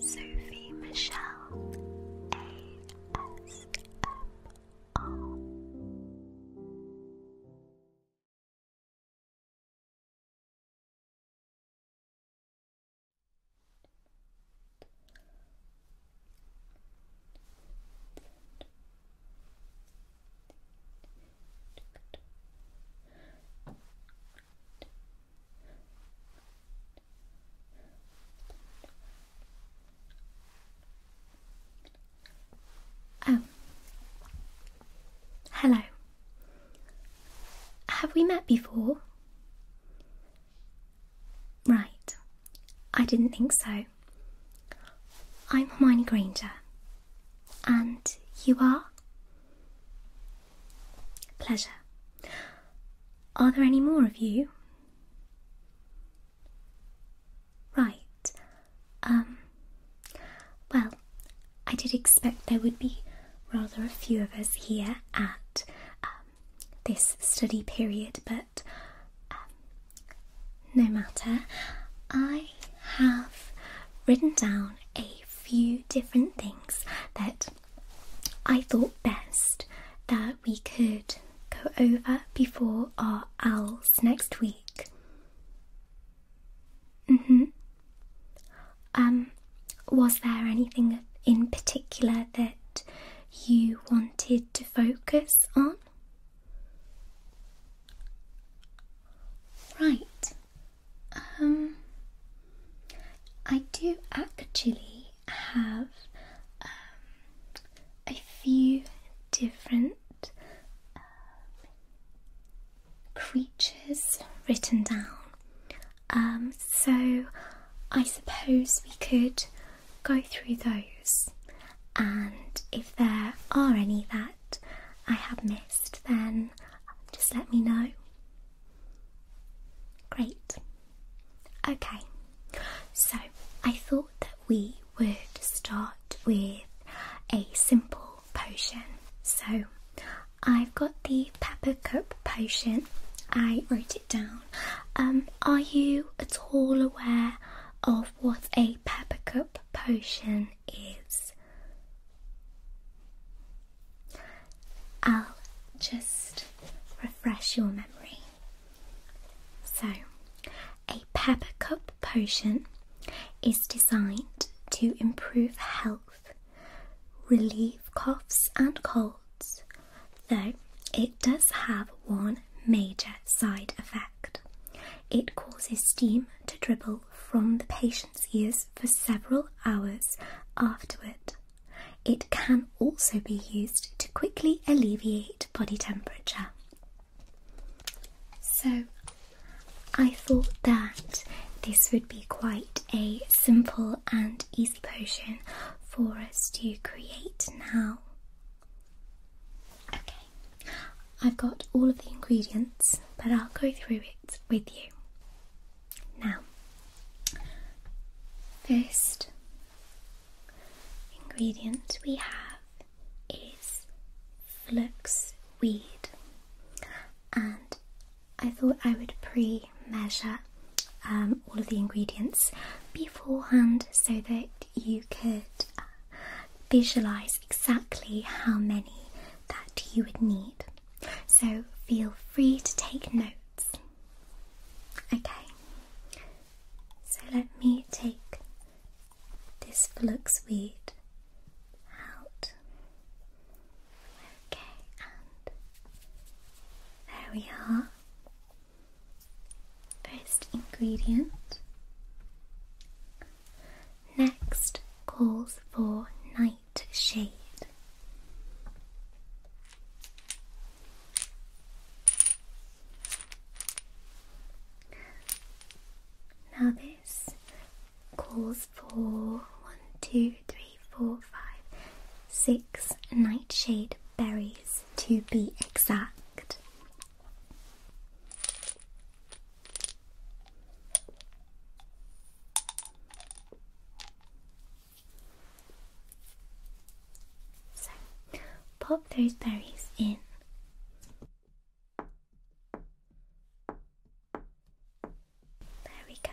Sophie Michelle ASMR. Oh. Hello. Have we met before? Right. I didn't think so. I'm Hermione Granger. And you are? Pleasure. Are there any more of you? Right. Um. Well, I did expect there would be rather a few of us here at um, this study period, but um, no matter. I have written down a few different things that I thought best that we could go over before our owls next week. hmm. Um, was there anything in particular that you wanted to focus on? Right. Um, I do actually have um, a few different um, creatures written down. Um, so I suppose we could go through those, and if there are any that I have missed, then just let me know. Great. Okay, so I thought that we would start with a simple potion. So I've got the pepper cup potion. I wrote it down. Um, are you at all aware of what a pepper cup potion is? I'll just refresh your memory. So, a pepper cup potion is designed to improve health, relieve coughs and colds, though it does have one major side effect. It causes steam to dribble from the patient's ears for several hours afterward. It can also be used to quickly alleviate body temperature. So, I thought that this would be quite a simple and easy potion for us to create now. Okay, I've got all of the ingredients, but I'll go through it with you. Now, first ingredient we have is flax weed, and I thought I would pre measure um, all of the ingredients beforehand so that you could uh, visualize exactly how many that you would need. So feel free to take notes Okay, so let me take this flux weed out. Okay, and there we are. First ingredient. Next calls for night. Nightshade. Now, this calls for one, two, three, four, five, six nightshade berries to be exact. So, pop those berries in. There we go.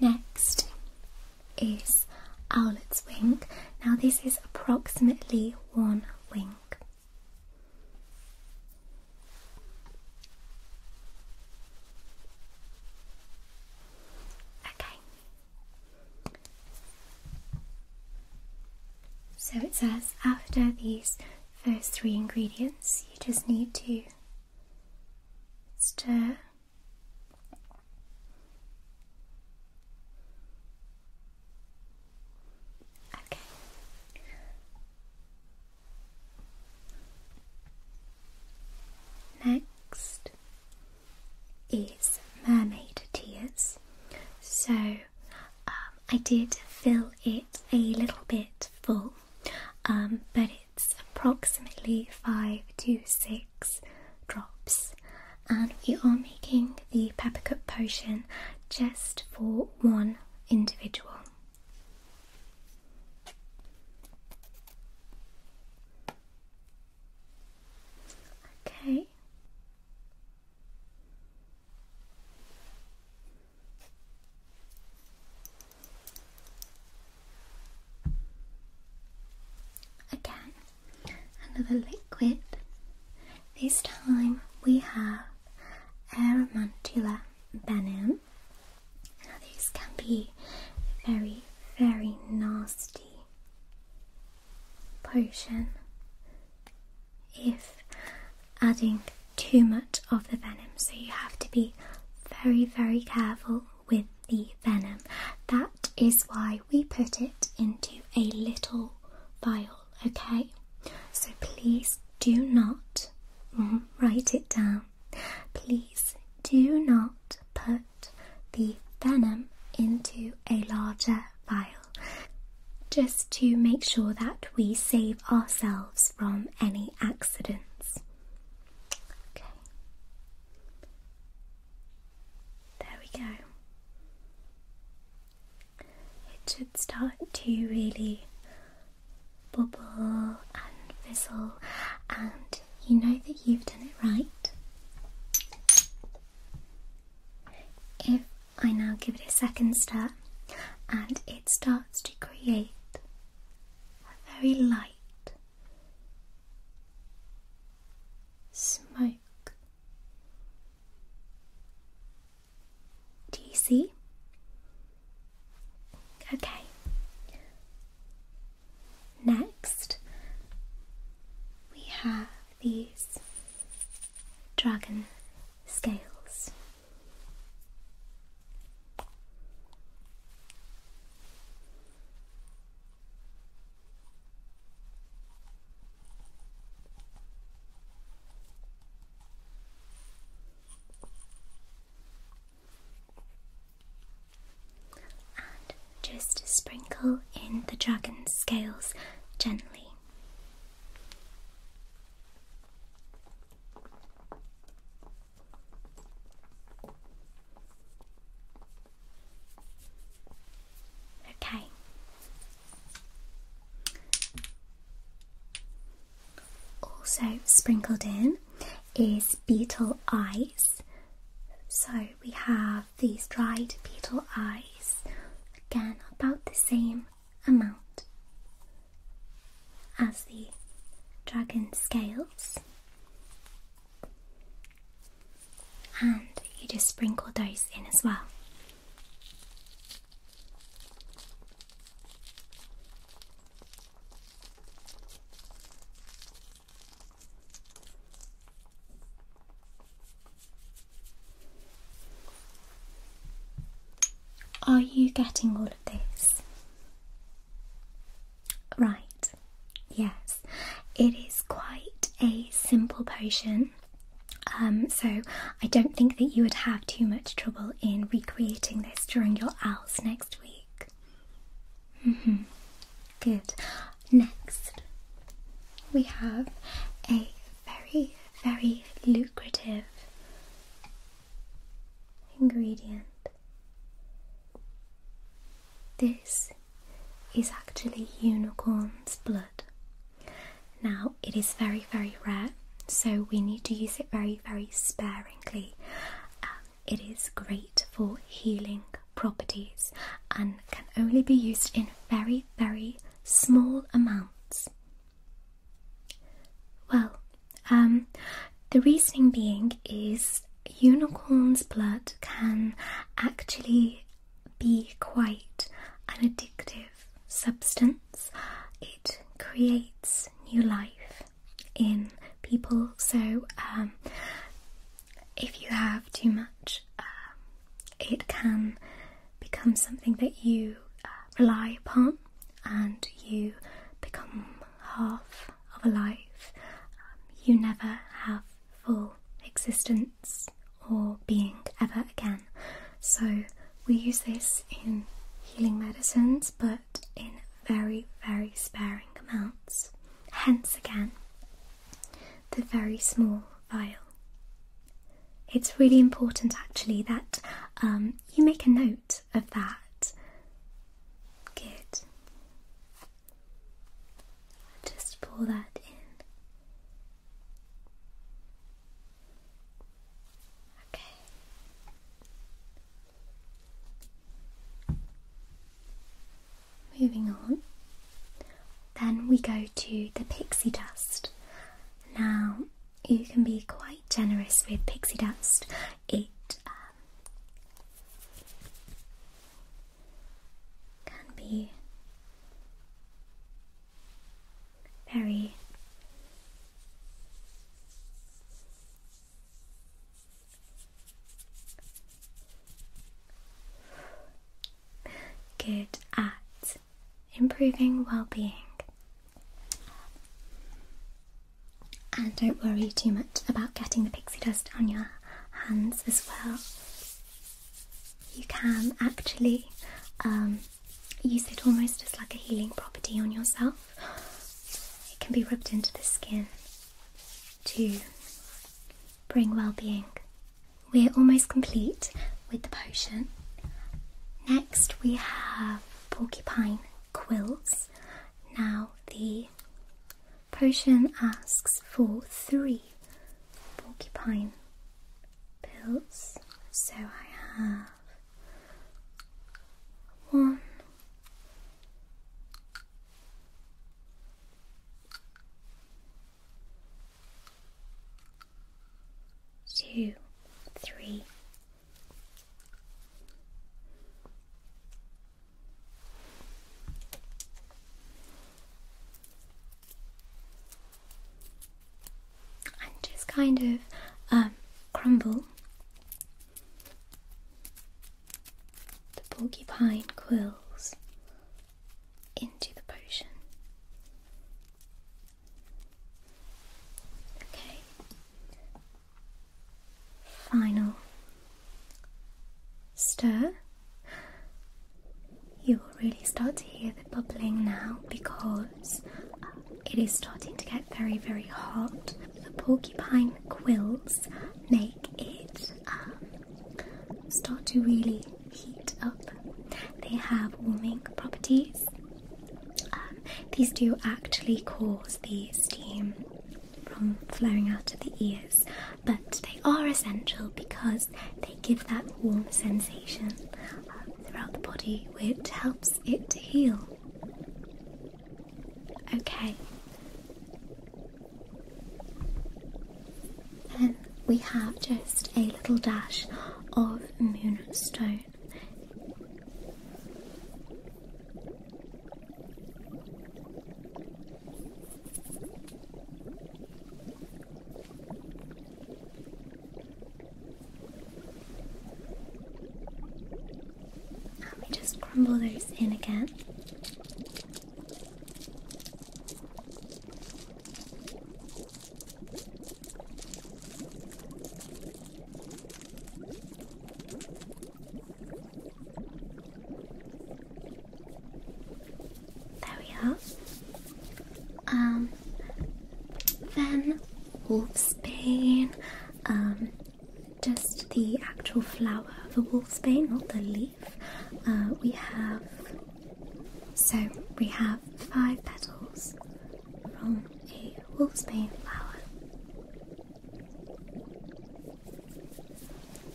Next is owlet's wing. Now, this is approximately one wing. Okay. So it says after these first three ingredients, you just need to stir. Okay. Next is mermaid tears. So um, I did fill it a little bit full, um, but it's approximately five to six drops, and we are making the peppercup potion just for one individual. Okay. Again, another liquid this time we have Aramantula venom. Now these can be very, very nasty potion if adding too much of the venom. So you have to be very, very careful with the venom. That is why we put it into a little vial okay? So please do not mm, write it down. Please do not put the venom into a larger vial just to make sure that we save ourselves from any accidents. Okay. There we go it should start to really bubble and fizzle, and you know that you've done it right. If I now give it a second stir, and it starts to create a very light smoke do you see? Okay. Next, we have these dragon scales. And just sprinkle in the dragon scales gently. Okay, also sprinkled in is beetle eyes. So we have these dried beetle eyes, again about the same amount as the dragon scales. And you just sprinkle those in as well. Are you getting all of this? Right, yes, it is quite a simple potion. Um, so I don't think that you would have too much trouble in recreating this during your owls next week. Mm-hmm. Good. Next, we have a very, very lucrative ingredient. This is actually unicorn's blood. Now, it is very, very rare, so we need to use it very, very sparingly. Um, it is great for healing properties and can only be used in very, very small amounts. Well, um, the reasoning being is unicorn's blood can actually be quite an addictive substance it creates new life in people. So, um, if you have too much, um, it can become something that you uh, rely upon and you become half of a life. Um, you never have full existence or being ever again. So we use this in healing medicines, but in very, very sparing amounts. Hence, again, the very small vial. It's really important actually that um, you make a note of that. Good. Just pour that in. Okay. Moving on. Then we go to the pixie dust. Now, you can be quite generous with pixie dust. It um, can be very good at improving well being. And don't worry too much about getting the pixie dust on your hands as well. You can actually um, use it almost as like a healing property on yourself. It can be rubbed into the skin to bring well being. We're almost complete with the potion. Next, we have porcupine quills. Now, the potion asks for three porcupine pills. So I have one, two, three and just kind of um, crumble the porcupine quills into the potion. Okay, final stir. You will really start to hear the bubbling now because uh, it is starting to get very, very hot. The porcupine quills make it um, start to really heat up. They have warming properties. Um, these do actually cause the steam from flaring out of the ears, but they are essential because they give that warm sensation throughout the body, which helps it heal. Okay. Then we have just a little dash of moonstone. Let me just crumble those in again. There we are. Um, then wolfsbane, um, just the actual flower of the wolfsbane, not the leaf. Uh, we have so we have five petals from a wolfsbane flower.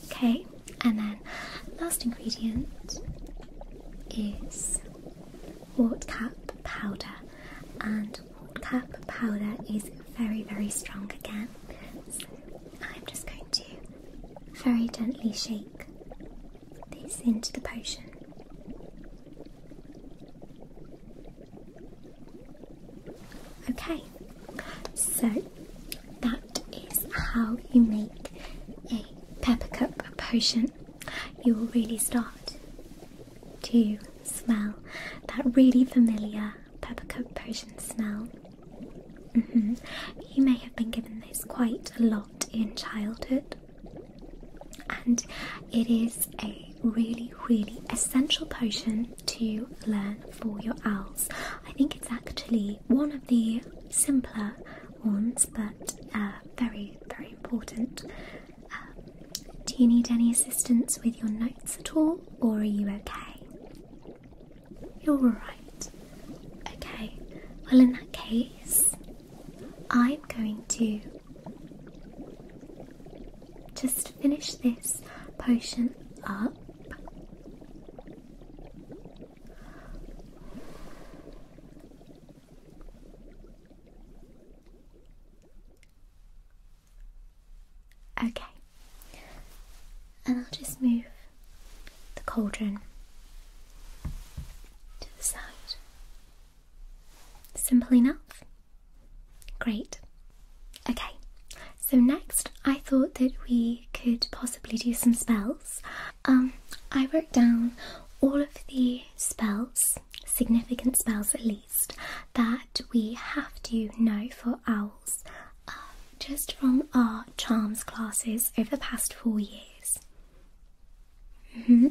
Okay, and then last ingredient is Whatcap powder, and Whatcap powder is very, very strong again. I'm just going to very gently shake this into the potion. Okay, so that is how you make a pepper cup potion you will really start to smell that really familiar peppercoat Persian smell. Mm-hmm. You may have been given this quite a lot in childhood, and it is a really, really essential potion to learn for your owls. I think it's actually one of the simpler ones, but uh, very, very important do you need any assistance with your notes at all, or are you okay? You're alright. Okay, well, in that case, I'm going to just finish this potion up. Okay, and I'll just move the cauldron to the side. Simple enough? Great. Okay, so next I thought that we could possibly do some spells. Um, I wrote down all of the spells, significant spells at least, that we have to know for owls uh, just from our charms classes over the past four years. Mm-hmm.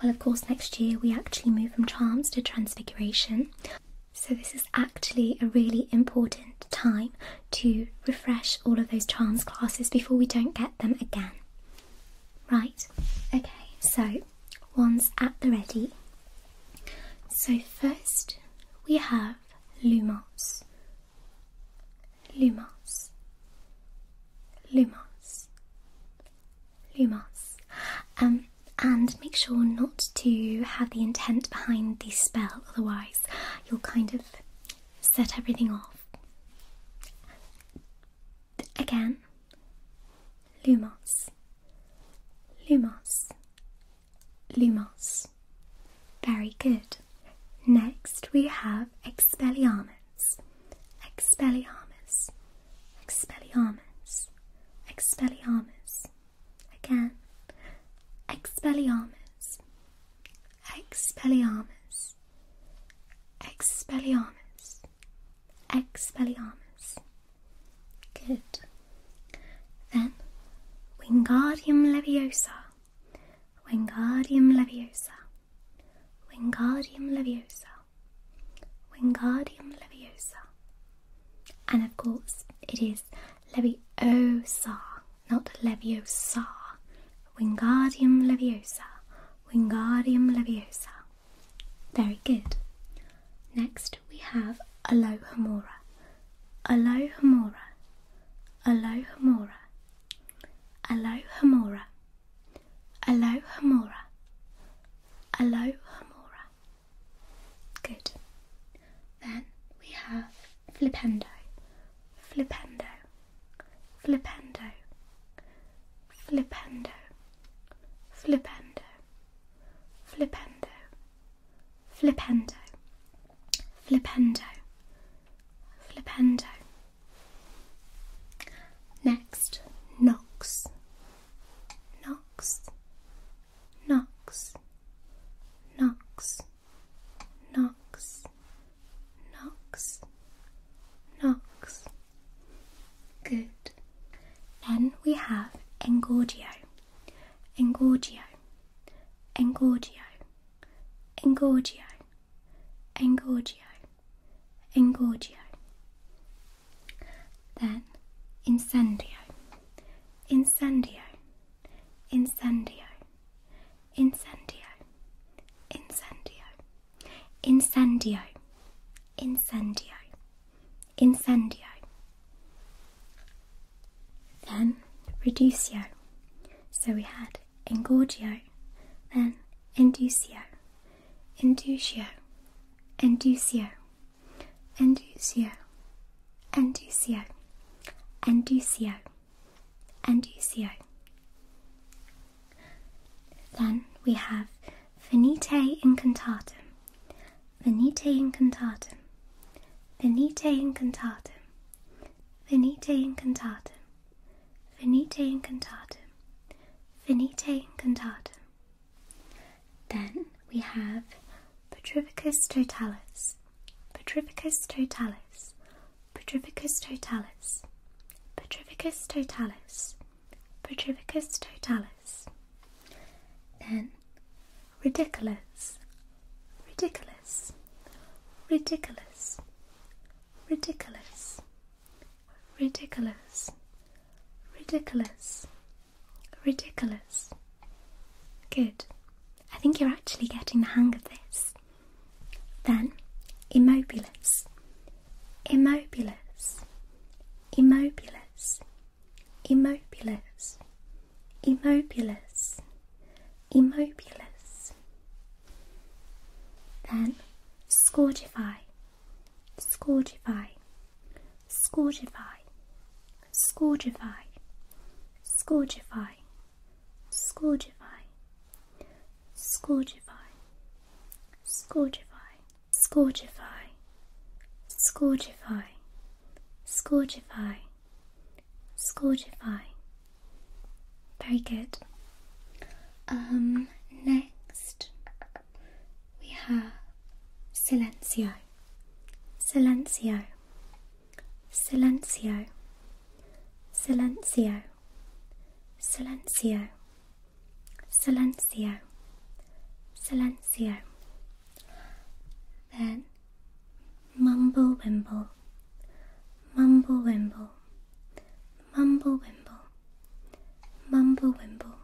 Well, of course, next year we actually move from charms to transfiguration. So, this is actually a really important time to refresh all of those charms classes before we don't get them again. Right, okay, so one's at the ready. So first we have Lumos, Lumos, Lumos, Lumos. Um, and make sure not to have the intent behind the spell, otherwise, you'll kind of set everything off. Again, Lumos, Lumos, Lumos. Very good. Next we have Expelliarmus, Expelliarmus, Expelliarmus, Expelliarmus. Again, Expelliarmus, Expelliarmus, Expelliarmus. Ex Expelliarmus. Good. Then, Wingardium Leviosa. Wingardium Leviosa. Wingardium Leviosa. Wingardium Leviosa. And of course, it is Leviosa, not Leviosa. Wingardium Leviosa. Wingardium Leviosa. Very good. Next we have Alohomora. Alohomora. Alohomora. Alohomora. Alohomora. Alohomora. Good. Then we have Flipendo. Flipendo. Flipendo. Flipendo flipendo, flipendo, flipendo, flipendo, flipendo. Next, knocks, knocks, knocks, knocks, knocks, knocks, knocks. Good. Then we have engorgio, engorgio, engorgio, engorgio, engorgio, engorgio. Then incendio, incendio, incendio, incendio, incendio, Incendio, incendio, incendio. Then reducio. So we had engorgio, then inducio, inducio, inducio, inducio, inducio, inducio, inducio. Then we have Venite incantatum, Venite incantatum, Venite incantatum, Venite incantatum, Venite incantatum, Venite incantatum. Then we have Petrivicus totalis, Petrivicus totalis, Petrivicus totalis, Petrivicus totalis, Petrivicus totalis. Then ridiculous, ridiculous, ridiculous, ridiculous, ridiculous, ridiculous, ridiculous. Good. I think you're actually getting the hang of this. Then immobiles immobilis, immobilis, immobilis, immobilis, immobilis. Then scourgify, scourgify, scourgify, scourgify, scourgify, scourgify, scourgify, scourgify, Scorchify, scorchify, scorchify, scorchify. Very good. Um, next we have silencio, silencio, silencio, silencio, silencio, silencio, silencio. Then mumble wimble, mumble wimble, mumble wimble, mumble wimble,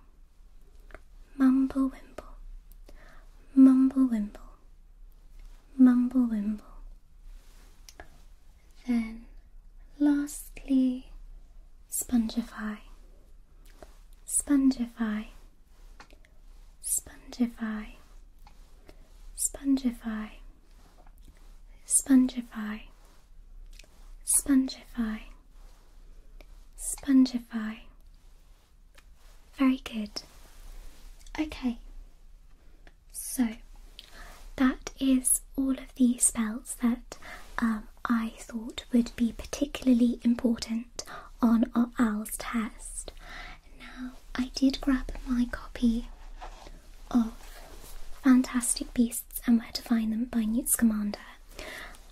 mumble wimble, mumble wimble, mumble wimble. Then Lastly, spongify, spongify, spongify, spongify, spongify, spongify, spongify. Very good. Okay, so that is all of the spells that um, I thought would be particularly important on our OWLS test. Now, I did grab my copy of Fantastic Beasts and Where to Find Them by Newt Scamander,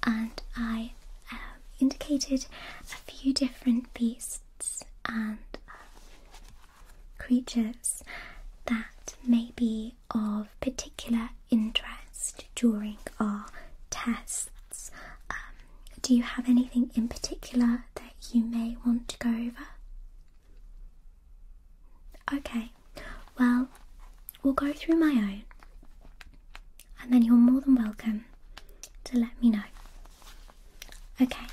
and I um, indicated a few different beasts and um, creatures that may be of particular interest during our tests. Um, do you have anything in particular that you may want to go over? Okay, well, we'll go through my own, and then you're more than welcome to let me know. Okay,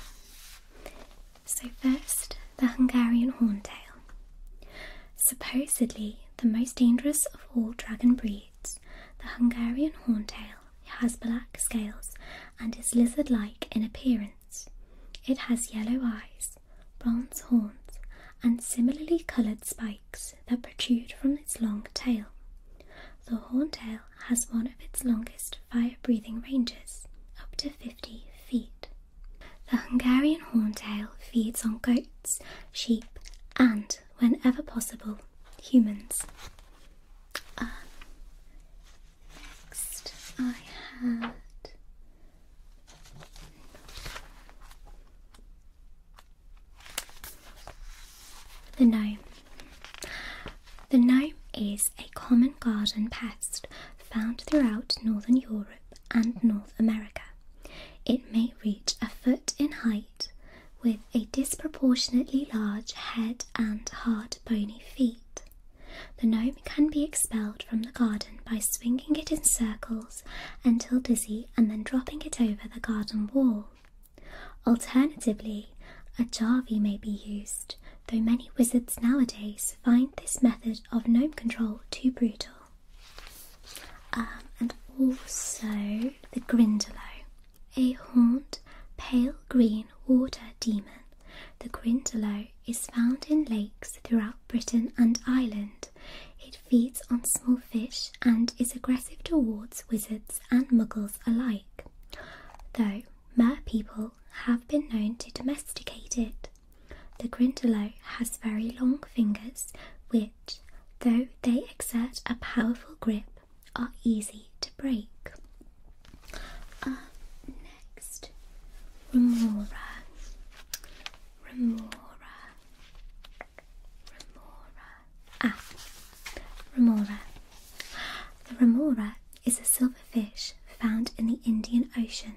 so first the Hungarian horntail. Supposedly the most dangerous of all dragon breeds, the Hungarian horntail has black scales and is lizard like in appearance. It has yellow eyes, bronze horns, and similarly coloured spikes that protrude from its long tail. The horntail has one of its longest fire breathing ranges, up to 50 feet. The Hungarian horntail feeds on goats, sheep, and, whenever possible, humans. Uh, next, I had. The gnome. The gnome is a common garden pest found throughout northern Europe and North America. It may reach a foot in height with a disproportionately large head and hard bony feet. The gnome can be expelled from the garden by swinging it in circles until dizzy and then dropping it over the garden wall. Alternatively, a jarvey may be used, though many wizards nowadays find this method of gnome control too brutal. Um, and also the Grindelow, a horned pale green water demon. The Grindelow is found in lakes throughout Britain and Ireland. It feeds on small fish and is aggressive towards wizards and muggles alike, though mer people have been known to domesticate it. The Grindelow has very long fingers which, though they exert a powerful grip, are easy to break. next, Remora. Remora. Remora. Ah, Remora. The Remora is a silverfish found in the Indian Ocean.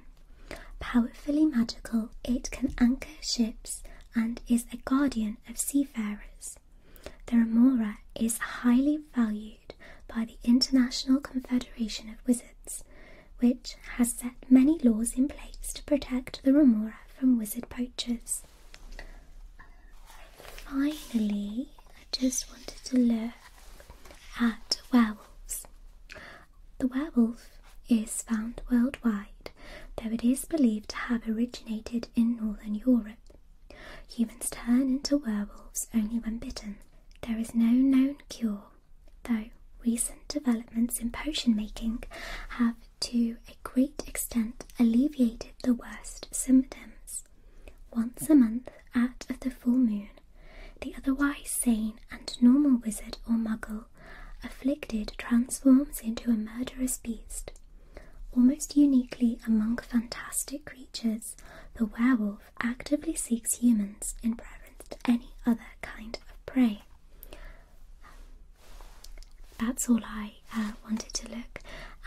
Powerfully magical, it can anchor ships and is a guardian of seafarers. The remora is highly valued by the International Confederation of Wizards, which has set many laws in place to protect the remora from wizard poachers. Finally, I just wanted to look at wells. The werewolf is found worldwide, though it is believed to have originated in northern Europe. Humans turn into werewolves only when bitten. There is no known cure, though recent developments in potion making have to a great extent alleviated the worst symptoms. Once a month, out of the full moon, the otherwise sane and normal wizard or muggle afflicted transforms into a murderous beast. Almost uniquely among fantastic creatures, the werewolf actively seeks humans in preference to any other kind of prey. That's all I uh, wanted to look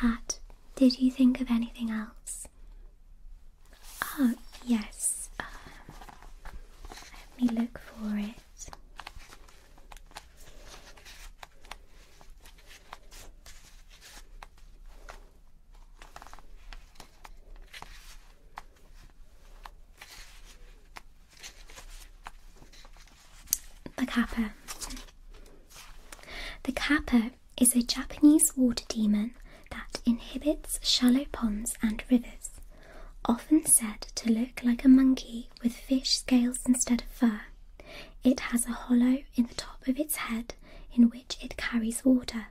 at. Did you think of anything else? Oh, yes. Uh, let me look for it. The Kappa. The Kappa is a Japanese water demon that inhabits shallow ponds and rivers. Often said to look like a monkey with fish scales instead of fur, it has a hollow in the top of its head in which it carries water.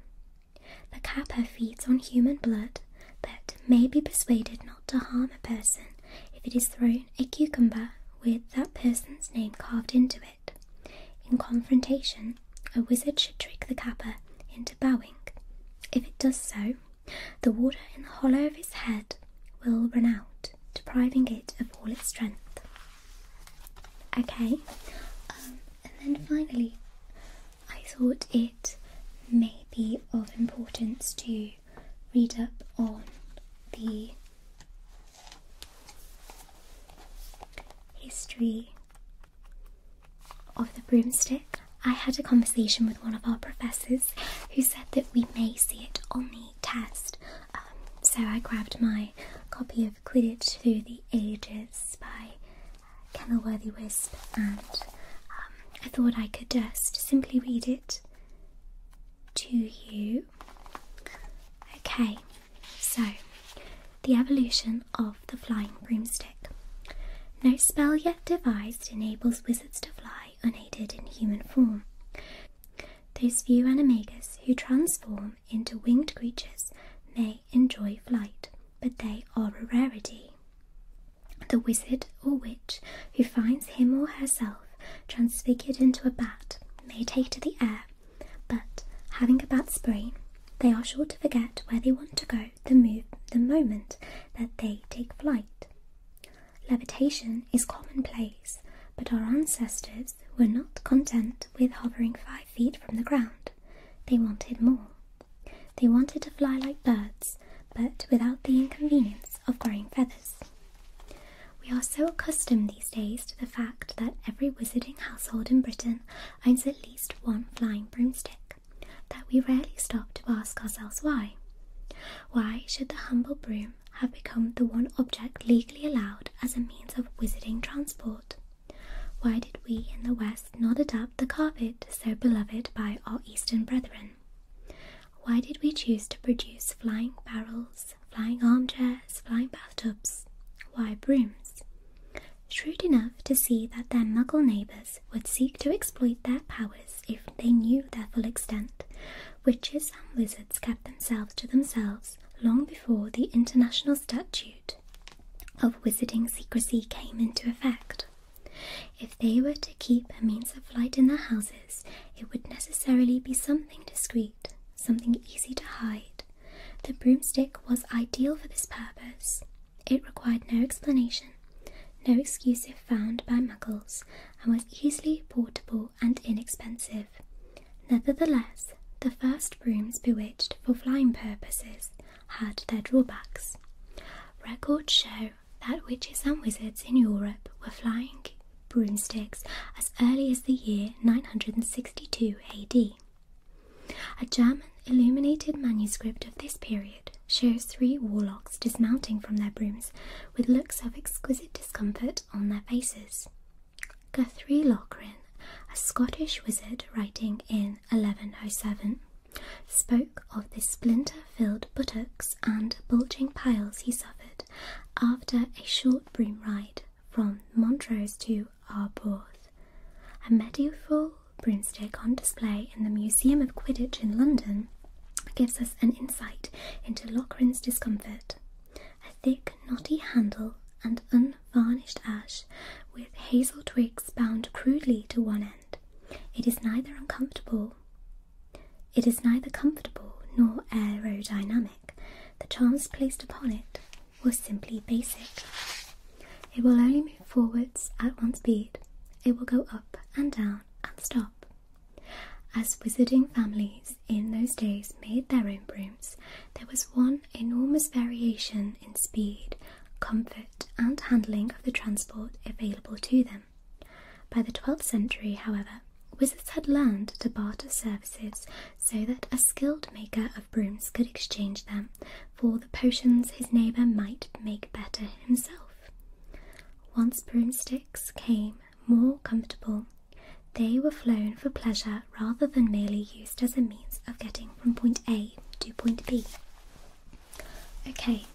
The kappa feeds on human blood, but may be persuaded not to harm a person if it is thrown a cucumber with that person's name carved into it. In confrontation, a wizard should trick the kappa into bowing. If it does so, the water in the hollow of his head will run out, depriving it of all its strength. Okay, um, and then finally, I thought it may be of importance to read up on the history of the broomstick I had a conversation with one of our professors who said that we may see it on the test. Um, so I grabbed my copy of Quidditch Through the Ages by Kenilworthy Wisp and um, I thought I could just simply read it to you. Okay, so the evolution of the flying broomstick. No spell yet devised enables wizards to fly unaided in human form. Those few animagus who transform into winged creatures may enjoy flight, but they are a rarity. The wizard or witch who finds him or herself transfigured into a bat may take to the air, but having a bat's brain, they are sure to forget where they want to go the moment that they take flight. Levitation is commonplace, but our ancestors were not content with hovering five feet from the ground. They wanted more. They wanted to fly like birds, but without the inconvenience of growing feathers. We are so accustomed these days to the fact that every wizarding household in Britain owns at least one flying broomstick that we rarely stop to ask ourselves why. Why should the humble broom have become the one object legally allowed as a means of wizarding transport? Why did we in the West not adopt the carpet so beloved by our Eastern brethren? Why did we choose to produce flying barrels, flying armchairs, flying bathtubs? Why brooms? Shrewd enough to see that their muggle neighbours would seek to exploit their powers if they knew their full extent. Witches and wizards kept themselves to themselves long before the International Statute of Wizarding Secrecy came into effect. If they were to keep a means of flight in their houses, it would necessarily be something discreet, something easy to hide. The broomstick was ideal for this purpose. It required no explanation, no excuse found by muggles and was easily portable and inexpensive. Nevertheless, the first brooms bewitched for flying purposes had their drawbacks. Records show that witches and wizards in Europe were flying broomsticks as early as the year 962 AD. A German illuminated manuscript of this period shows three warlocks dismounting from their brooms with looks of exquisite discomfort on their faces. Guthrie Lochran, a Scottish wizard writing in 1107, spoke of the splinter filled buttocks and bulging piles he suffered after a short broom ride from Montrose to Arborth. A medieval broomstick on display in the Museum of Quidditch in London gives us an insight into Lochran's discomfort. A thick, knotty handle and unvarnished ash with hazel twigs bound crudely to one end. It is neither uncomfortable. It is neither comfortable nor aerodynamic. The charms placed upon it were simply basic. It will only move forwards at one speed. It will go up and down and stop. As wizarding families in those days made their own brooms, there was one enormous variation in speed, comfort, and handling of the transport available to them. By the 12th century, however, wizards had learned to barter services so that a skilled maker of brooms could exchange them for the potions his neighbour might make better himself. Once broomsticks came more comfortable, they were flown for pleasure rather than merely used as a means of getting from point A to point B. Okay,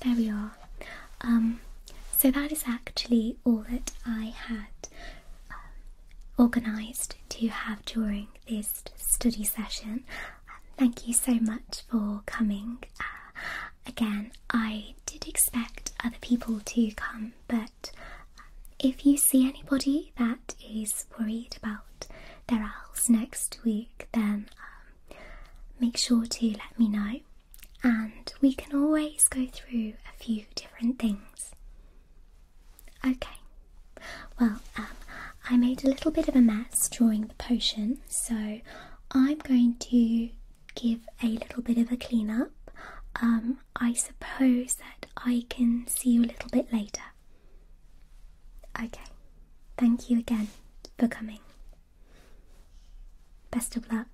there we are. Um, so that is actually all that I had um, organised to have during this study session. thank you so much for coming. Uh, again, I did expect other people to come, but um, if you see anybody that is worried about their owls next week, then um, make sure to let me know, and we can always go through a few different things. Okay, well, um, I made a little bit of a mess drawing the potion, so I'm going to give a little bit of a clean up. Um, I suppose that I can see you a little bit later. Okay, thank you again for coming. Best of luck.